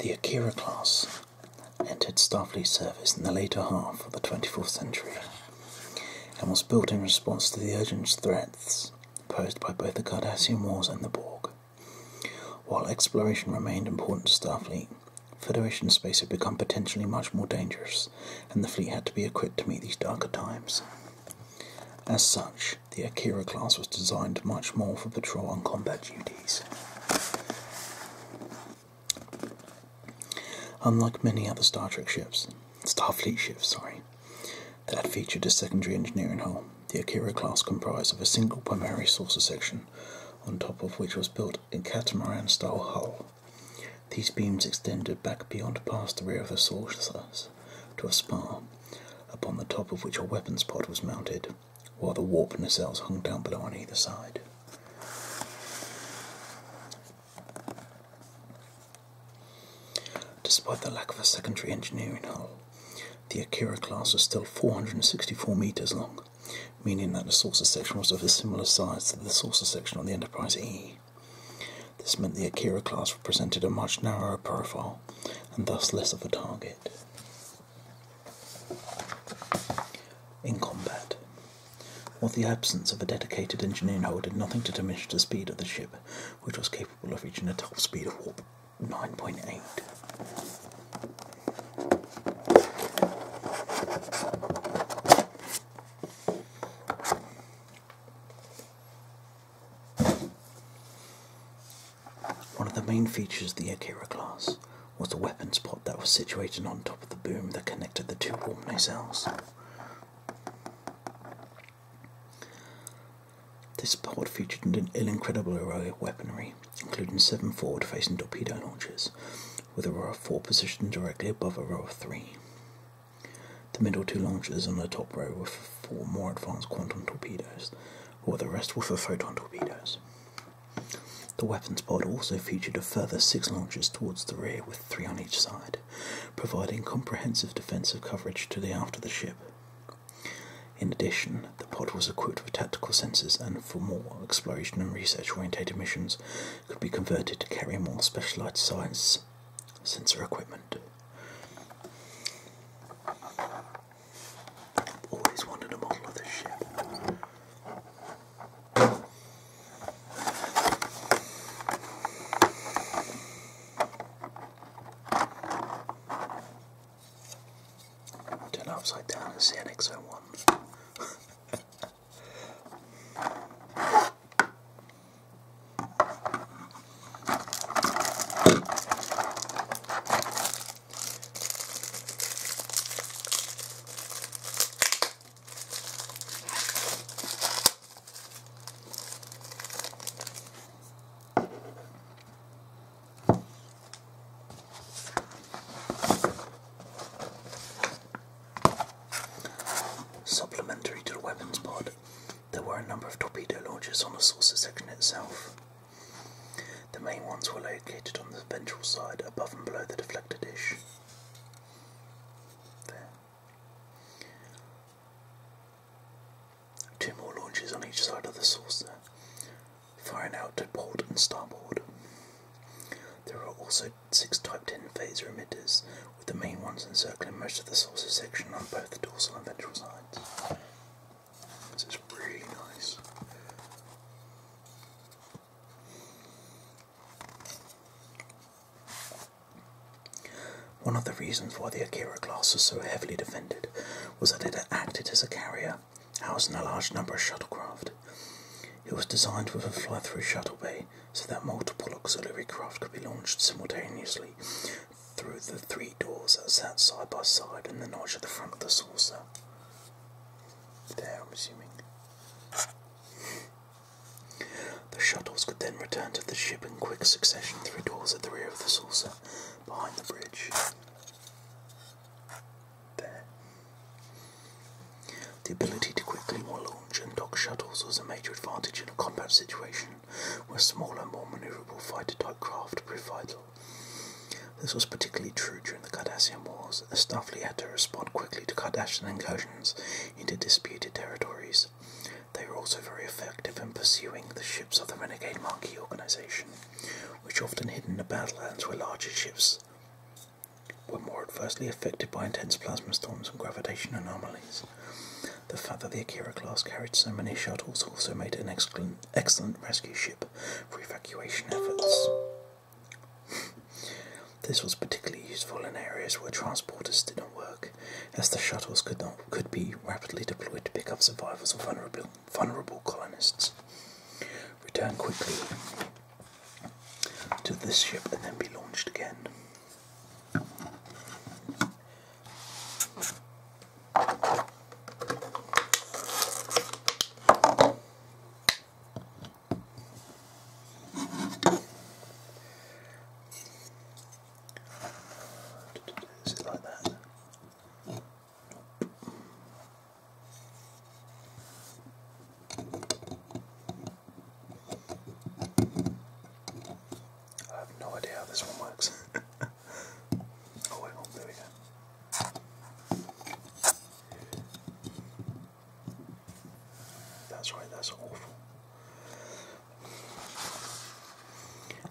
The Akira class entered Starfleet service in the later half of the 24th century and was built in response to the urgent threats posed by both the Cardassian Wars and the Borg. While exploration remained important to Starfleet, Federation space had become potentially much more dangerous and the fleet had to be equipped to meet these darker times. As such, the Akira class was designed much more for patrol and combat duties. Unlike many other Star Trek ships, Starfleet ships, sorry, that featured a secondary engineering hull, the Akira class comprised of a single primary saucer section, on top of which was built a catamaran style hull. These beams extended back beyond past the rear of the saucers to a spar, upon the top of which a weapons pod was mounted, while the warp nacelles hung down below on either side. Despite the lack of a secondary engineering hull, the Akira class was still 464 metres long meaning that the saucer section was of a similar size to the saucer section on the Enterprise E. This meant the Akira class represented a much narrower profile and thus less of a target. In combat, while the absence of a dedicated engineering hold did nothing to diminish the speed of the ship, which was capable of reaching a top speed of warp 9.8. One of the main features of the Akira class was the weapons pod that was situated on top of the boom that connected the two warp cells. This pod featured an incredible array of weaponry, including seven forward-facing torpedo launchers, with a row of four positioned directly above a row of three. The middle two launchers on the top row were for four more advanced quantum torpedoes, while the rest were for photon torpedoes. The weapons pod also featured a further six launchers towards the rear with three on each side, providing comprehensive defensive coverage to the after of the ship. In addition, the pod was equipped with tactical sensors and, for more exploration and research oriented missions, could be converted to carry more specialized science sensor equipment. Always wanted a model of this ship. Turn upside down and see an XM1. Supplementary to the weapons pod, there were a number of torpedo launchers on the saucer section itself. The main ones were located on the ventral side, above and below the deflector dish. There. Two more launches on each side of the saucer, and out to port and starboard. There are also six Type 10 phaser emitters, with the main ones encircling most of the saucer section on both the dorsal and ventral sides. This is really nice. One of the reasons why the Akira class was so heavily defended was that it acted as a carrier housing a large number of shuttlecraft. It was designed with a fly through shuttle bay so that multiple auxiliary craft could be launched simultaneously through the three doors that sat side by side in the notch at the front of the saucer. There, I'm assuming. The shuttles could then return to the ship in quick succession through doors at the rear of the saucer, behind the bridge. The ability to quickly launch and dock shuttles was a major advantage in a combat situation where smaller, more maneuverable fighter type craft proved vital. This was particularly true during the Cardassian Wars, as Starfleet had to respond quickly to Cardassian incursions into disputed territories. They were also very effective in pursuing the ships of the Renegade Marquis organization which often hid in the badlands where larger ships were more adversely affected by intense plasma storms and gravitation anomalies. The fact that the Akira class carried so many shuttles also made it an excellent, excellent rescue ship for evacuation efforts. This was particularly useful in areas where transporters didn't work, as the shuttles could not could be rapidly deployed to pick up survivors or vulnerable, vulnerable colonists. Return quickly to this ship and then be launched again. Is it like that? I have no idea how this one works. oh wait, oh, there we go. That's right, that's awful.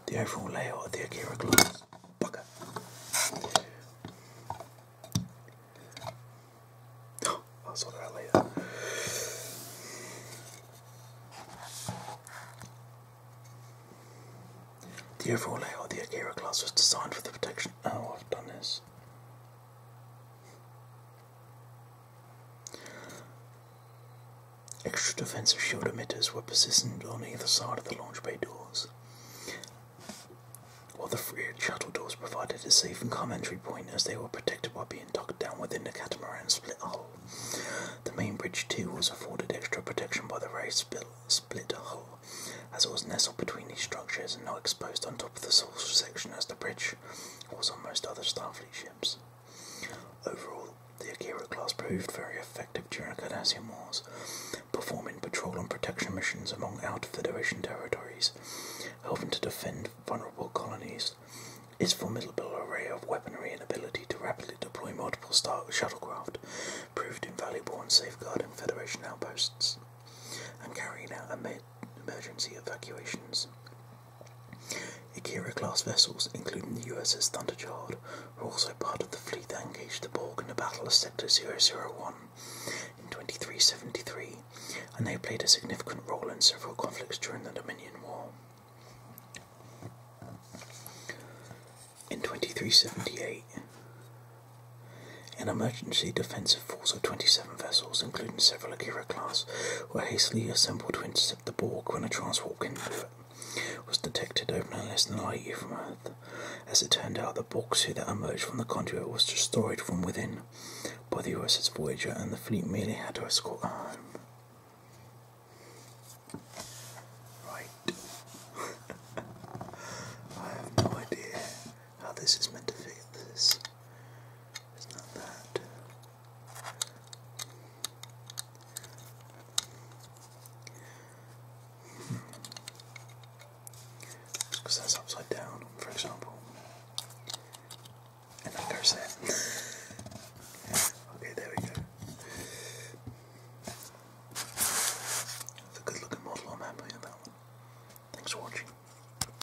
The overall layout of the Akira class. Bugger. I'll that out The overall layout of the Akira glass was designed for the protection. Oh, I've done this. Extra defensive shield emitters were positioned on either side of the launch bay doors, while the rear shuttle doors provided a safe and commentary point as they were protected by being tucked down within the catamaran split hull. The main bridge, too, was afforded extra protection by the raised split hull, as it was nestled between these structures and not exposed on top of the sole section as the bridge was on most other Starfleet ships. Overall, the Akira class proved very effective during the Cardassian Wars, performing patrol and protection missions among outer Federation territories, helping to defend vulnerable colonies. Its formidable array of weaponry and ability to rapidly deploy multiple star shuttlecraft proved invaluable in safeguarding Federation outposts and carrying out emergency evacuations. Akira class vessels, including the USS Thunderchild, were also part of the fleet that engaged the Borg in the Battle of Sector 001 in 2373, and they played a significant role in several conflicts during the Dominion War. In 2378, an emergency defensive force of 27 vessels, including several Akira class, were hastily assembled to intercept the Borg when a transport candidate was detected over no less than a light year from Earth. As it turned out, the Borg ship that emerged from the conduit was destroyed from within by the USS Voyager, and the fleet merely had to escort home. Right. I have no idea how this is meant to fit this. It's not that. Because that's upside down, for example. And that goes okay, there we go. That's a good looking model, I'm happy with Thanks for watching.